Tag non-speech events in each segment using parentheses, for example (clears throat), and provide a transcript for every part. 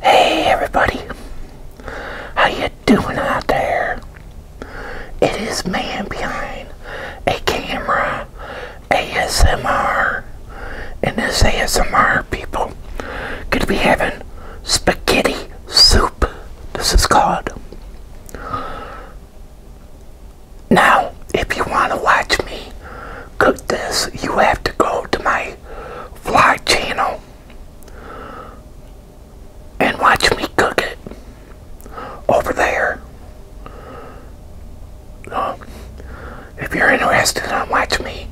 Hey everybody, how you doing out there? It is me behind a camera ASMR, and this ASMR people could be having spaghetti soup. This is called. Now, if you want to watch me cook this, you have to go to my fly channel and watch me cook it over there. Um, if you're interested in watching me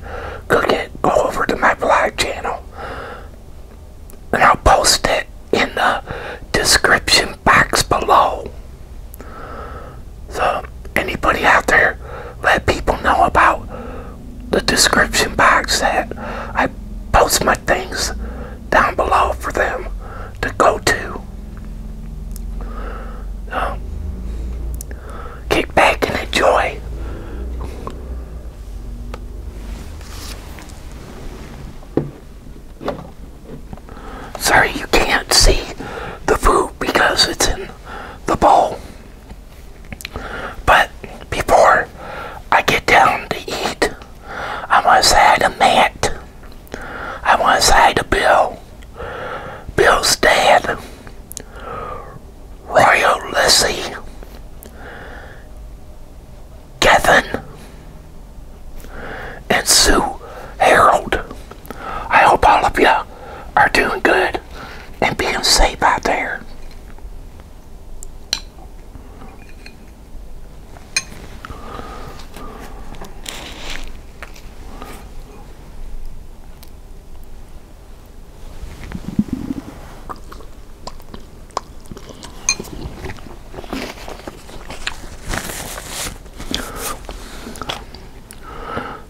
cook it, go over to my vlog channel and I'll post it in the description box below. So, anybody out there, let people know about the description box that I post my things down below for them to go to. So, um, kick back and enjoy. Sorry you can't see the food because it's in the bowl. But before I get down to eat, I want to say hi to Matt. I want to say hi to Bill. Bill's dad. Royal Lissy. Kevin. And Sue Harold. I hope all of you are doing good and being safe out there.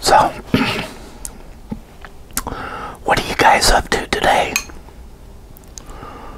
So, (clears throat) what are you guys up to today?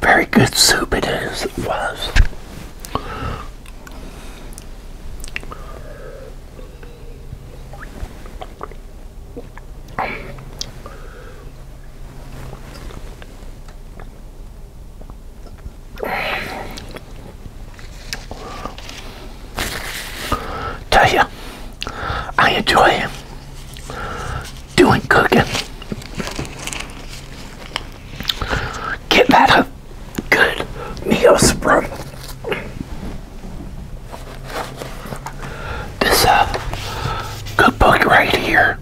Very good soup it is, it was. Tell you, I enjoy doing cooking. Get that of good meals from this uh, book right here.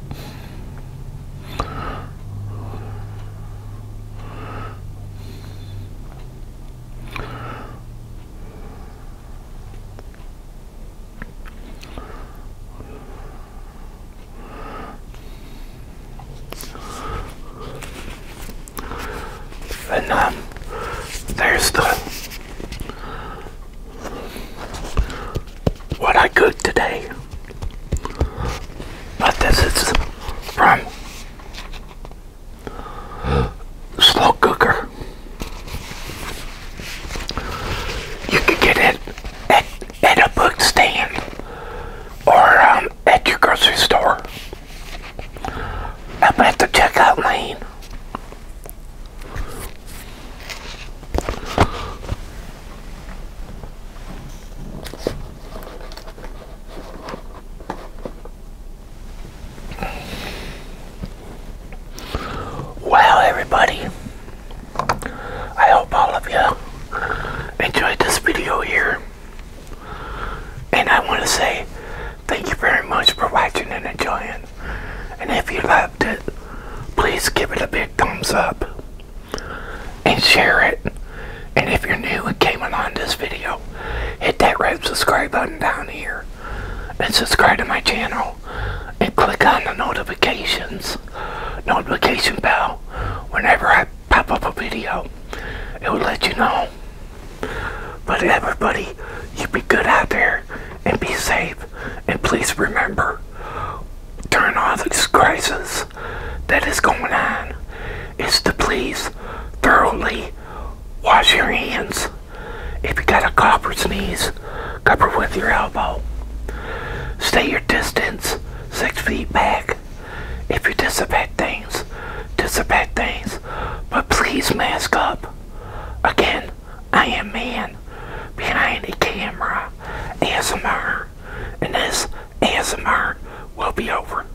And um, there's the what I cooked today. But this is from slow cooker. You can get it at, at a book stand or um, at your grocery store. Up at the checkout lane. Well, everybody, I hope all of you enjoyed this video here. And I want to say thank you very much for watching and enjoying. And if you liked it, please give it a big thumbs up and share it. And if you're new and came on this video, hit that red subscribe button down here and subscribe to my channel and click on the notifications notification bell whenever I pop up a video it will let you know but everybody you be good out there and be safe and please remember during all this crisis that is going on is to please thoroughly wash your hands if you got a cough or sneeze, cover with your elbow. Stay your distance, six feet back. If you disinfect things, disinfect things, but please mask up. Again, I am man behind the camera, ASMR, and this ASMR will be over.